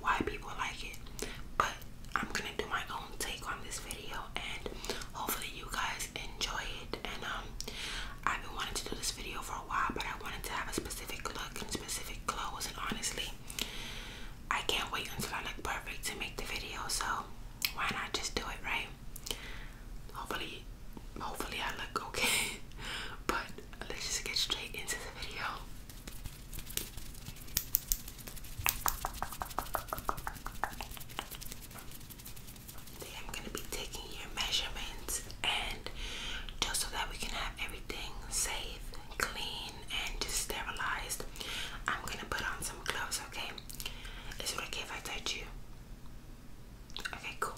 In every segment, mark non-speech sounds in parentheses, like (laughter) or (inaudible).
why people like it. But I'm gonna do my own take on this video and hopefully you guys enjoy it. And um I've been wanting to do this video for a while, but I wanted to have a specific look and specific clothes and honestly I can't wait until I look perfect to make the video, so why not just do it right? Hopefully hopefully I look okay. (laughs) But let's just get straight into the video. I'm gonna be taking your measurements and just so that we can have everything safe, clean, and just sterilized, I'm gonna put on some gloves, okay? Is it okay if I touch you? Okay, cool.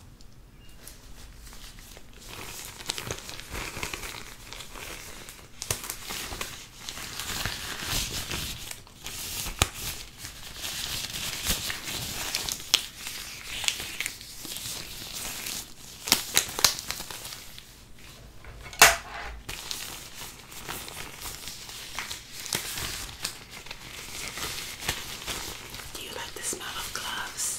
Do you like the smell of gloves?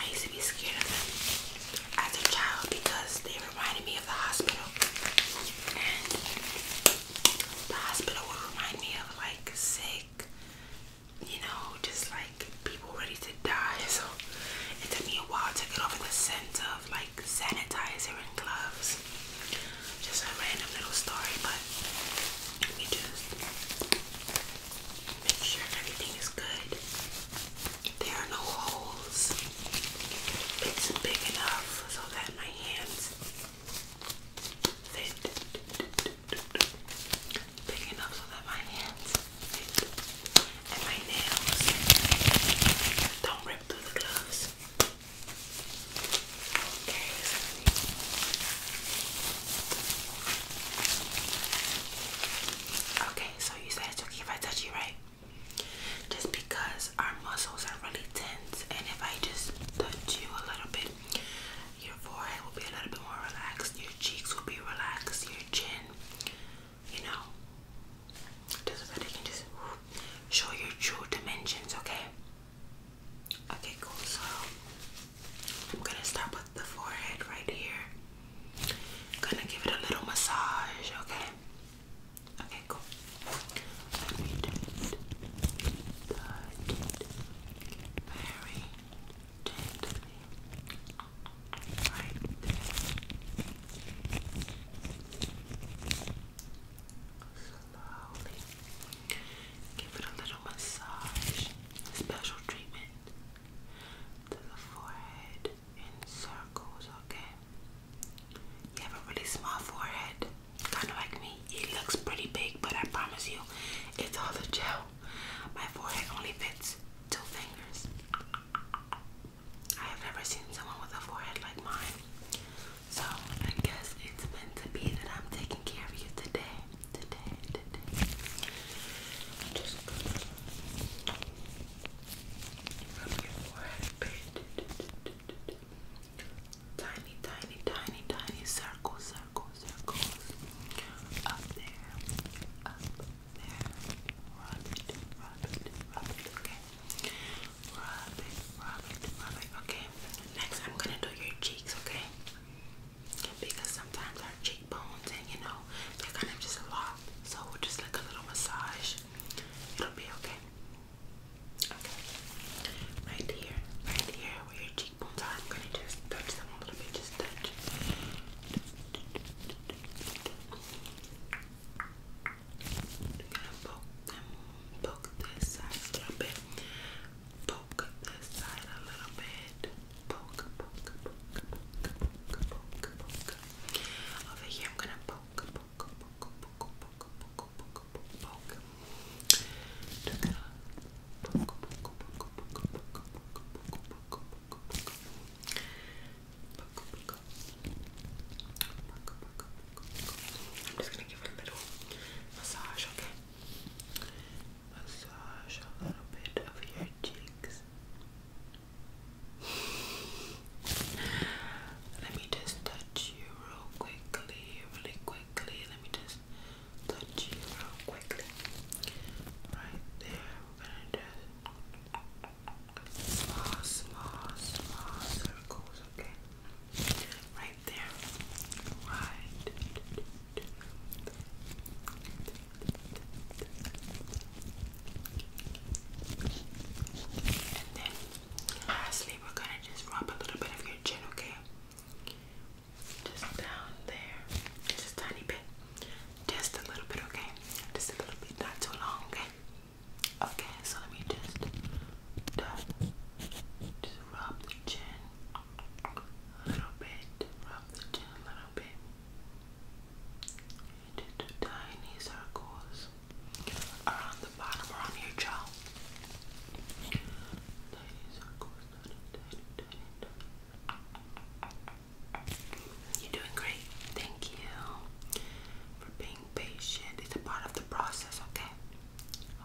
I used to be scared of them as a child because they reminded me of the hospital. And the hospital would remind me of like sick, you know, just like people ready to die. (laughs) So it took me a while to get over the scent of like sanitizer and gloves. Just a random little story, but Make sure everything is good. There are no holes. It's big enough so that my hands fit. Big enough so that my hands And my nails don't rip through the gloves. Okay, Okay, so you said it's okay if I touch you, right? Just because our muscles are really tense, and if I just touch you a little bit, your forehead will be a little bit more relaxed, your cheeks will be relaxed, your chin, you know, just so that can just show your true dimensions, okay? Okay, cool. So I'm gonna start with the forehead right here. Gonna give it a little massage, okay? Okay, cool. very gently. Right there. Slowly. Give it a little massage. Special treatment to the forehead in circles, okay? You have a really small forehead, kind of like me. It looks pretty big, but I promise you, it's all the gel. My forehead only fits two fingers. I have never seen someone with a forehead like mine. So I guess it's meant to be that I'm taking care of you today. Today, today. just Tiny, tiny, tiny, tiny circles, circles, circles. Up there, up there. Rub it, rub it, rub it, okay? Rub it, rub it, rub it, okay? Next, I'm gonna do your cheeks, okay? Because sometimes our cheekbones and you know, they're kind of just lost so we'll just like a little massage, it'll be okay. Okay, right here, right here where your cheekbones are, I'm gonna just touch them a little bit, just touch. I'm gonna poke them, poke this side a little bit, poke this side a little bit poke, poke, poke, poke, poke, poke, poke. Over here, I'm gonna poke, poke, poke, poke, poke, poke, poke, poke. Poke, poke, poke, poke, poke, poke, poke, poke, poke, poke. I'm just gonna give it a little massage, okay? Massage a little bit of your cheeks. Let me just touch you real quickly, really quickly. Let me just touch you real quickly. Right there. We're gonna do small, small, small circles, okay? Right there. Right. And then lastly, we're gonna just rub a little bit of your chin, okay? Just down there, just a tiny bit, just a little bit, okay? Just a little bit, not too long, okay? Okay, so let me just, just rub the chin a little bit, rub the chin a little bit tiny circles around the bottom, around your jaw. You're doing great. Thank you for being patient. It's a part of the process, okay?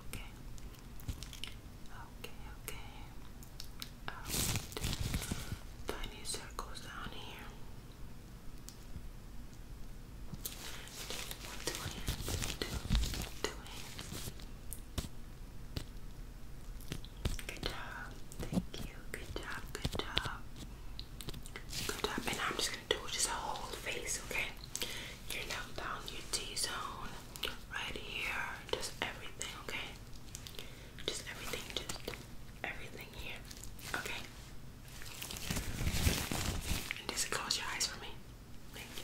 Okay. Okay, okay tiny um, circles down here. Two Good job. Thank you. Good job. Good job. Good job. And I'm just gonna do just a whole face, okay? Your neck down, your T zone, right here, just everything, okay? Just everything, just everything here. Okay. just close your eyes for me. Thank you.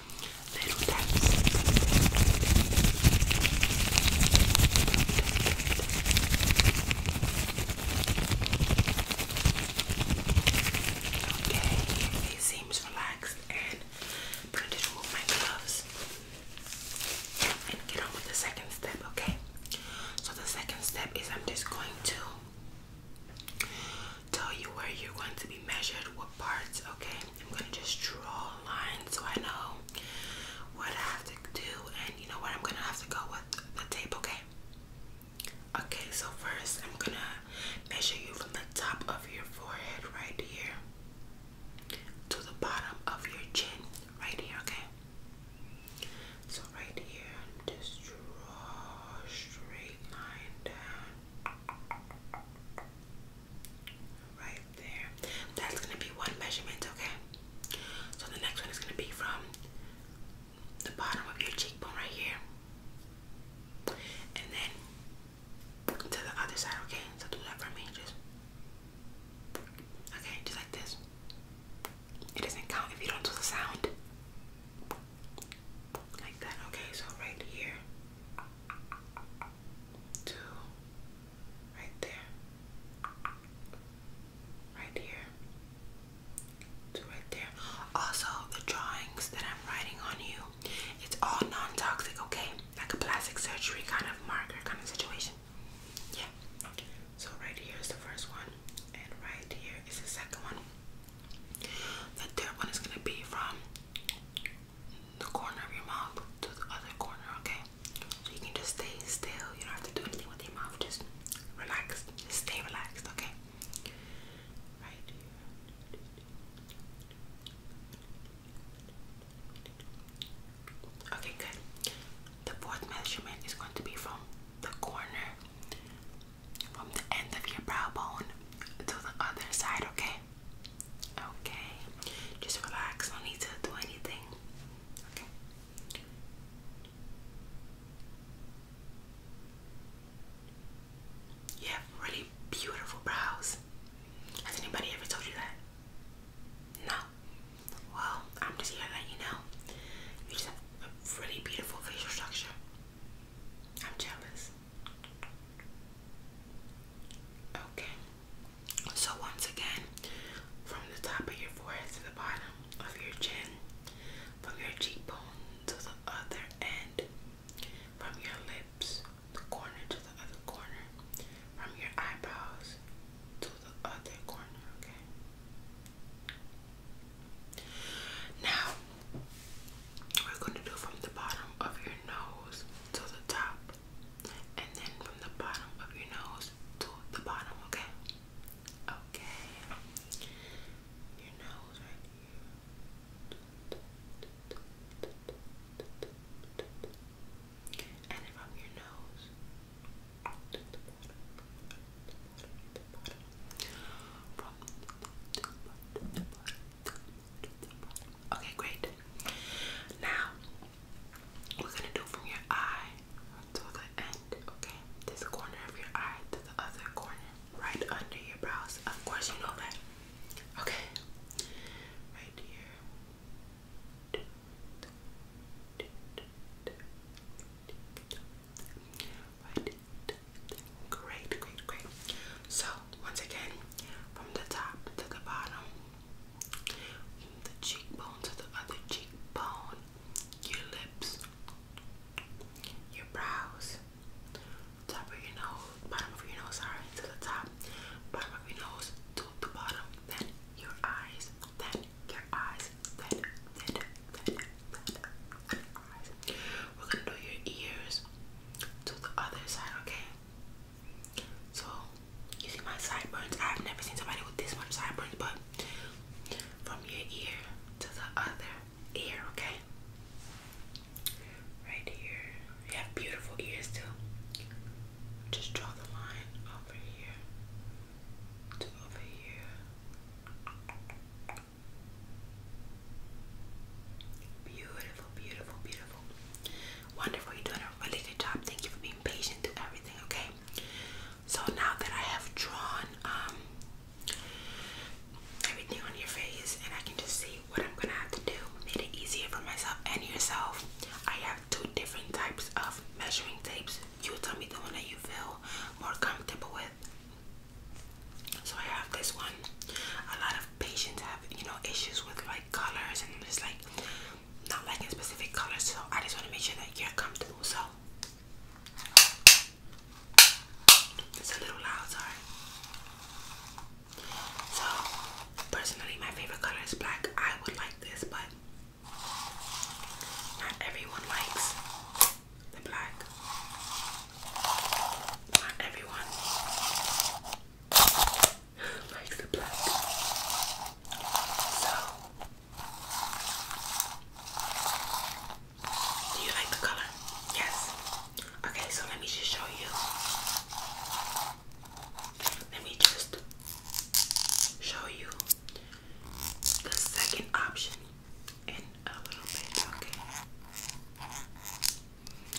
little taps. Okay, it seems relaxed and I'm gonna remove my gloves and get on with the second step, okay? So the second step is I'm just going to tell you where you're going to be measured, what parts, okay? I'm gonna just draw a line so I know what I have to do and you know what I'm gonna have to go with the tape, okay? Okay, so first I'm gonna measure you from the top of your forehead right here to the bottom of your chin right here, okay? So right here, just draw straight line down. Right there. That's gonna be one measurement, okay? So the next one is gonna be from the bottom of your cheekbone right here. And then to the other side, okay? So do that for me, just okay, just like this. It doesn't count if you don't do the sound. Like that, okay, so right here two, right there, right here, two right there. Also, the drawings that I'm writing on you, it's all non-toxic, okay? Like a plastic surgery kind of marker kind of situation. Yeah. Okay. So right here is the first one, and right here is the second one. The third one is gonna be from the corner of your mouth to the other corner, okay? So you can just stay still. You don't have to do anything with your mouth. Just relax. stay relaxed, okay? Right Okay, good. The fourth measurement is going to be from the corner, from the end of your brow bone to the other side, okay? Okay. Just relax. No need to do anything. Okay. You have really beautiful brows. Has anybody ever told you that? No. Well, I'm just here to let you know. You just have a really beautiful facial structure. I'm jealous. Okay, so once again, from the top of your forehead to the bottom of your chin, from your cheekbone to the other end, from your lips, the corner to the other corner, from your eyebrows to the other corner, okay? Now, we're going to do from the bottom of your nose to the top, and then from the bottom of your nose to the bottom, okay? Okay, your nose right here, and from your nose Okay, great. Now we're gonna do from your eye to the end, okay? This corner of your eye to the other corner, right under your brows. Of course, you know that. Okay, right here. Great, great, great. So, once again, from the top to the bottom, from the cheekbone to the other cheekbone, your lips, your brows, top of your nose, bottom of your nose, sorry, to the top, bottom of your nose to the bottom, then your eyes, then your eyes, then, then, then, then, eyes. We're gonna do your ears to the other side, okay? So you see my sideburns. I've never seen somebody with this much sideburns, but from your ear to the other ear, okay? Right here. You have beautiful ears too. Just draw the line over here to over here. Beautiful, beautiful, beautiful. Wonderful, you're doing a really good job. Thank you for being patient through everything, okay? So now that I have drawn um, everything on your face and I can just see what I'm gonna have to do, made it easier for myself and yourself. I have two different types of measuring tapes. You tell me the one that you feel more comfortable with. So I have this one a lot of patients have you know issues with like colors and just like not liking specific colors. So I just want to make sure that you're comfortable. So it's a little loud, sorry. So personally, my favorite color is black. I would like this, but not everyone likes the black. Not everyone like the black. So, do you like the color? Yes. Okay, so let me just show you. Let me just show you the second option in a little bit, okay?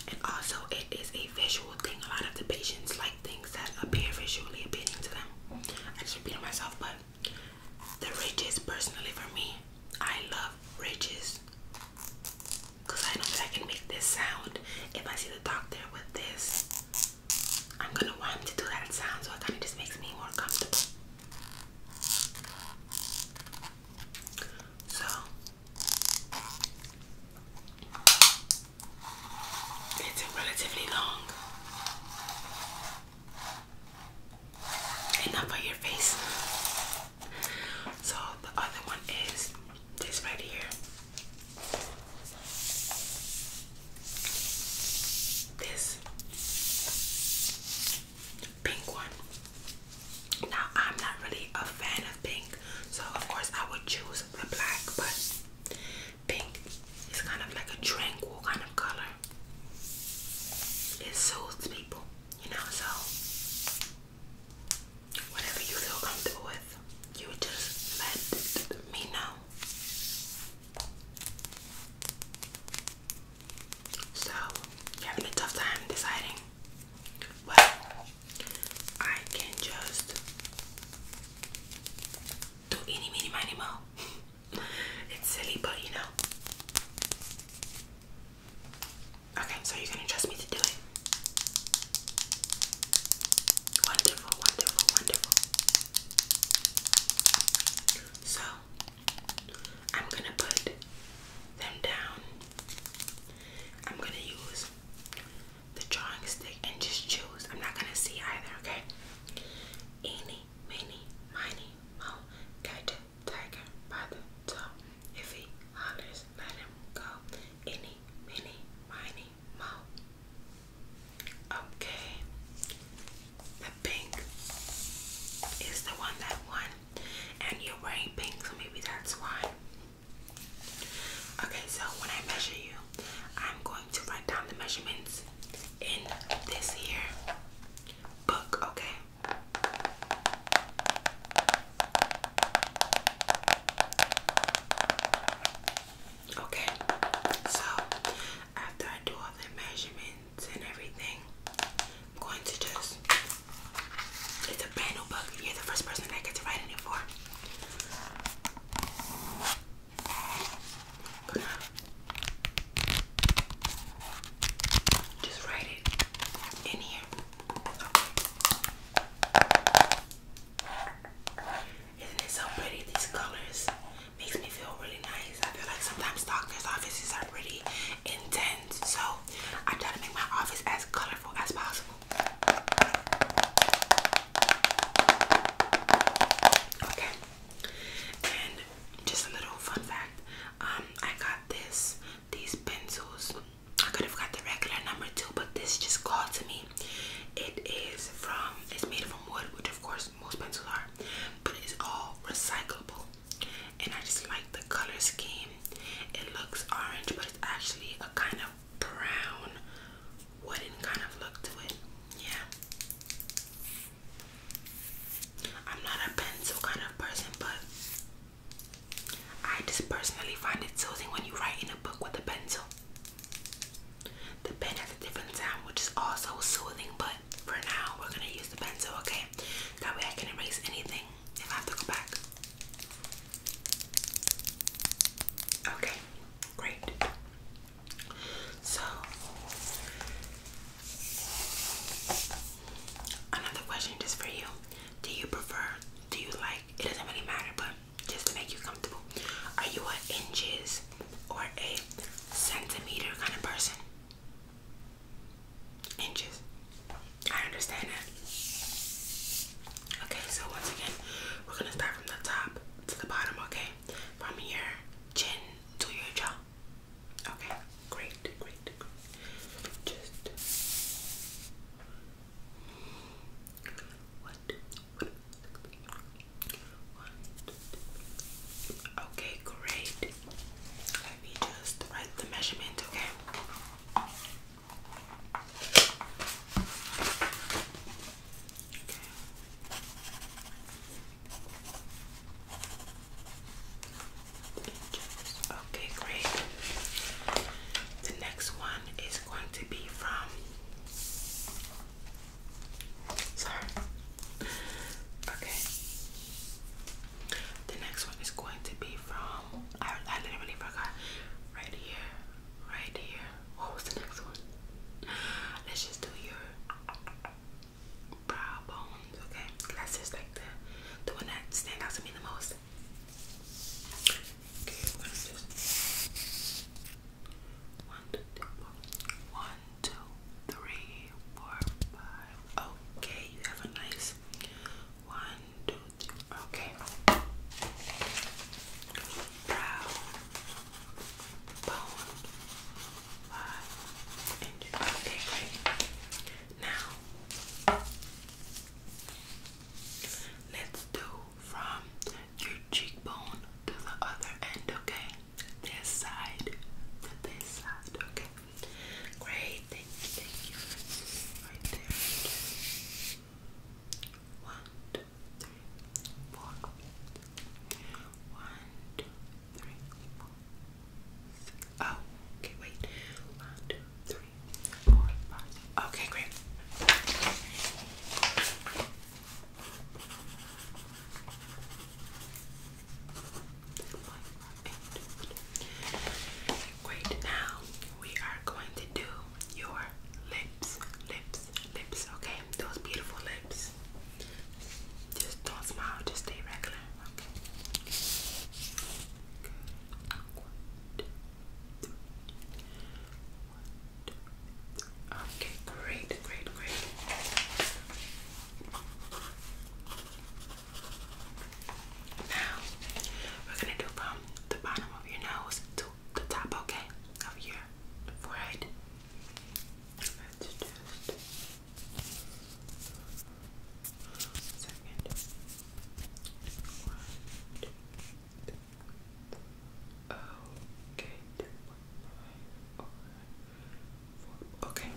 And also, it is a visual thing. A lot of the patients like things that appear visually appealing to them. I just repeating myself, but the ridges, personally for me, I love ridges because I know that I can make this sound. If I see the doctor with this, I'm gonna want him to do that sound, so it kind of just makes me more comfortable. So it's relatively long. and not for your face. So the other one is this right here. This pink one. Now I'm not really a fan of pink, so of course I would choose the black, but pink is kind of like a tranquil kind of color. It soothes people, you know, so whatever you feel comfortable with, you just let me know. So, you're having a tough time deciding? Well, I can just do any mini mini (laughs) it's silly, but you know. Okay, so you're trust me to do it. Wonderful, wonderful, wonderful. So I'm gonna put them down I'm gonna use the drawing stick and just choose. I'm not gonna see either, okay? Eeny, meeny, miny, mo, catch tiger by the toe. If he hollers, let him go. Eeny, meeny, miny, mo. Okay. The pink is the one that won. And you're wearing pink, so maybe that's why. Okay, so when I measure you, I'm going to write down the measurements in this here book, okay? Okay, so after I do all the measurements and everything, I'm going to just it's a brand new book. You're the first person that I get to write in it for. Uh, just write it in here. Isn't it so pretty? These colors makes me feel really nice. I feel like sometimes doctors' offices are pretty intense, so I try to make my office as colorful as possible. Okay, and just a little fun fact. Um, I got this, these pencils. I could have got the regular number two, but this just called to me. It is from, it's made from wood, which of course most pencils are, but it's all recyclable. And I just like the color scheme. It looks orange, but it's actually a kind of brown wooden kind of look to it. Yeah. I'm not a pencil kind of person, but I just personally find it soothing when you write in a book with a pencil. The pen has a different sound, which is also soothing, but for now, we're gonna use the pencil, okay? That way I can erase anything I have to go back. Okay, great. So, another question just for you. Do you prefer, do you like, it doesn't really matter, but just to make you comfortable, are you an inches or a centimeter kind of person? Inches. I understand that. Okay, so once again, we're gonna start from the top to the bottom, okay? From your chin to your jaw. Okay, great, great, great. Just what? okay, great. Let me just write the measurement, okay? Okay, great. The next one is going to be from. Sorry. Okay. The next one is going to be from I, literally forgot. Right here, right here. What was the next one? Let's just do your brow bones, okay? That's just like the the one that stands out to me the most. Okay, One, two, three, four, five. Okay, you have a nice one, Okay. Brow, bone, line, and okay, great. Now, let's do from your cheekbone to the other end, okay? This side to this side, okay? Great, thank you. Right there. One, two, three, four. One, two, Oh, okay, wait. One, two, three, four, five. Okay, great. Great, now we are going to do your lips, lips, lips, okay? Those beautiful lips. Just don't smile, just stay regular, okay? great, great, great. Now, we're gonna do from the bottom of your nose to the top, okay, of your forehead. Let's just second. One, two, three. Okay, two, one, five, four. Okay.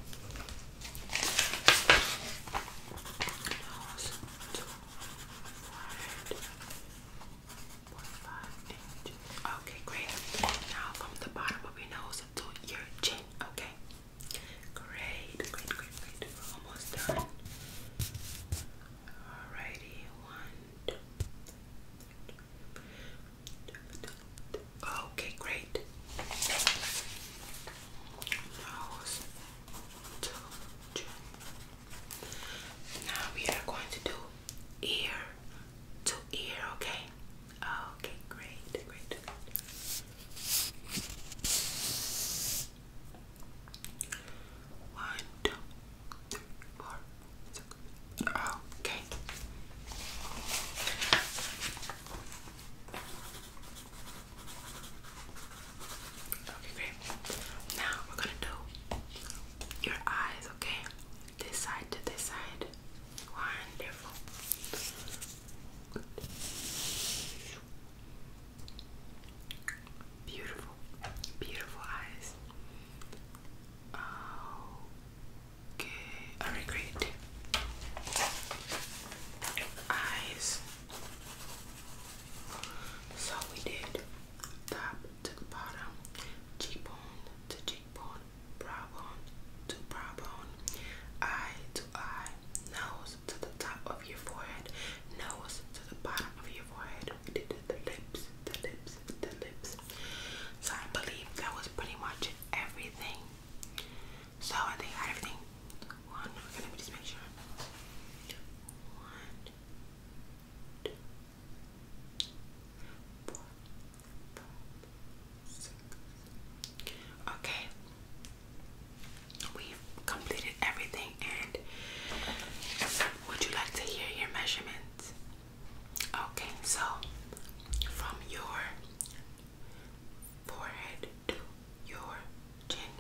Okay, great. Now from the bottom of your nose to your chin. Okay. Great, great, great, great. almost done. Alrighty, one, Okay, great. Nose to chin. Now we are going to do ear to ear, okay? Okay, great, great. One, two, three, four, six. Okay. Okay, great. Now we're gonna do your eyes, okay? This side to this side. Wonderful. Beautiful, beautiful eyes. Okay, alright, great. Eyes. So we did top to the bottom, cheekbone to cheekbone, brow bone to brow bone, eye to eye, nose to the top of your forehead, nose to the bottom of your forehead. We did the lips, the lips, the lips. So I believe that was pretty much everything. So I think I had everything. One, let me just make sure. One, Okay, we've completed everything. And would you like to hear your measurements? Okay, so from your forehead your chin.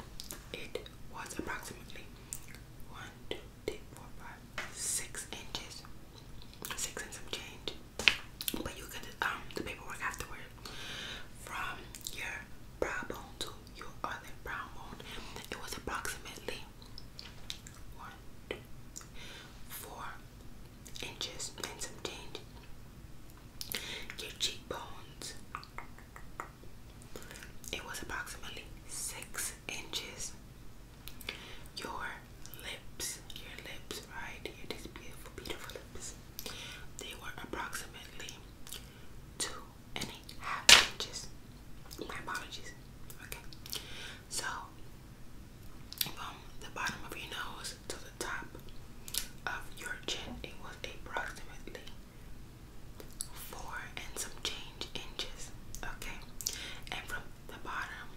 It was approximately one, two, three, four, five, six inches, six and some change. But you get um the paperwork afterward from your brow bone to your other brow bone. It was approximately one, two, four inches and some change. Your cheekbones it was approximately six inches. Your lips, your lips, right? Your these beautiful, beautiful lips. They were approximately two and a half inches. My apologies. Okay. So from the bottom of your nose to the top of your chin, it was approximately four and some change inches, okay? And from the bottom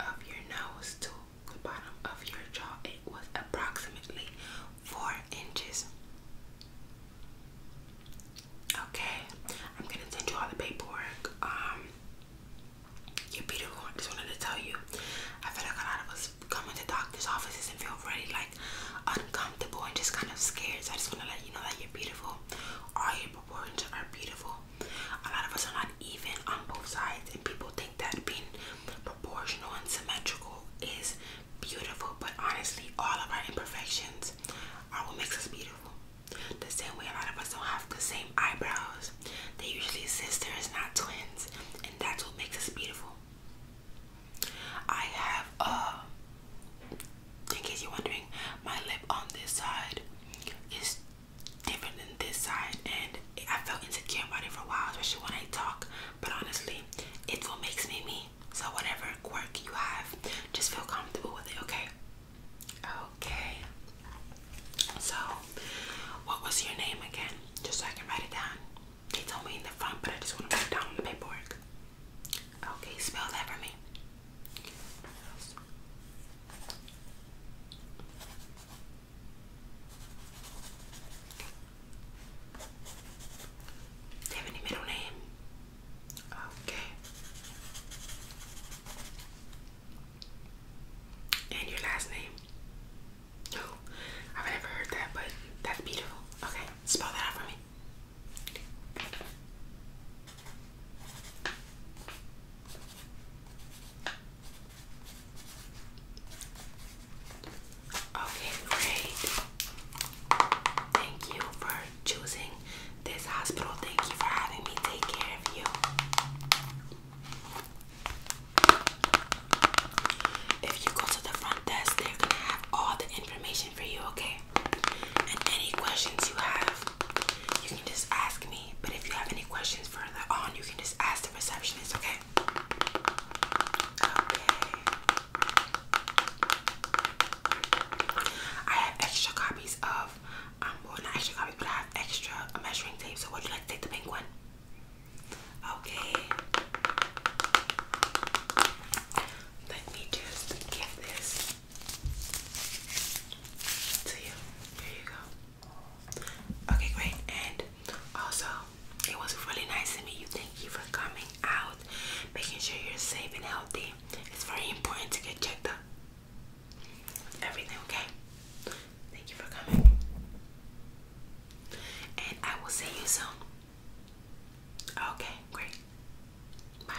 of your nose to the bottom of your jaw, it was approximately four inches. Okay, I'm gonna send you all the paperwork. Um, you're beautiful. I just wanted to tell you, I feel like a lot of us come into doctor's offices and feel really like like uncomfortable and just kind of scared. I just want to let you know that you're beautiful. All your proportions are beautiful. A lot of us are not even on both sides, and people think that being proportional and symmetrical is beautiful. But honestly, all of our imperfections are what makes us beautiful. The same way a lot of us don't have the same eyebrows. They're usually sisters, not twins, and that's what makes us beautiful. I have uh in case you're wondering, my lip on this side is different than this side and I felt insecure about it for a while, especially when I talk. But honestly, it's what makes me me. So whatever quirk you have, just feel comfortable with it, okay? Okay. So, what was your name again? Just so I can write it down. They told me in the front, but I just want to put down the paperwork. Okay, spell that for me. Do you have any middle name? Okay. And your last name? Oh, (gasps) I've never heard that, but that's beautiful. Okay, spell that out for me. Okay, great. Thank you for choosing this hospital. Thank you for having me take care of you. If you go to the front desk, they're gonna have all the information for you, okay? And any questions you have, you can just ask me. But if you have any questions further on, you can just ask the receptionist, okay? Okay. I have extra copies of, um, well, not extra copies, but I have extra measuring tape. So, would you like to take the pink one? Okay. Let me just give this to you. Here you go. Okay, great. And also, it was really nice to meet you. Thank you for coming out, making sure you're safe and healthy. It's very important to get checked up. Everything okay? Thank you for coming. And I will see you soon. Okay, great. Bye.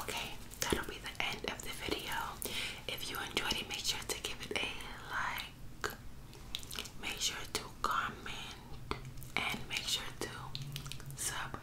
Okay, that'll be the end of the video. If you enjoyed it, make sure to give it a like. Make sure to comment and make sure to sub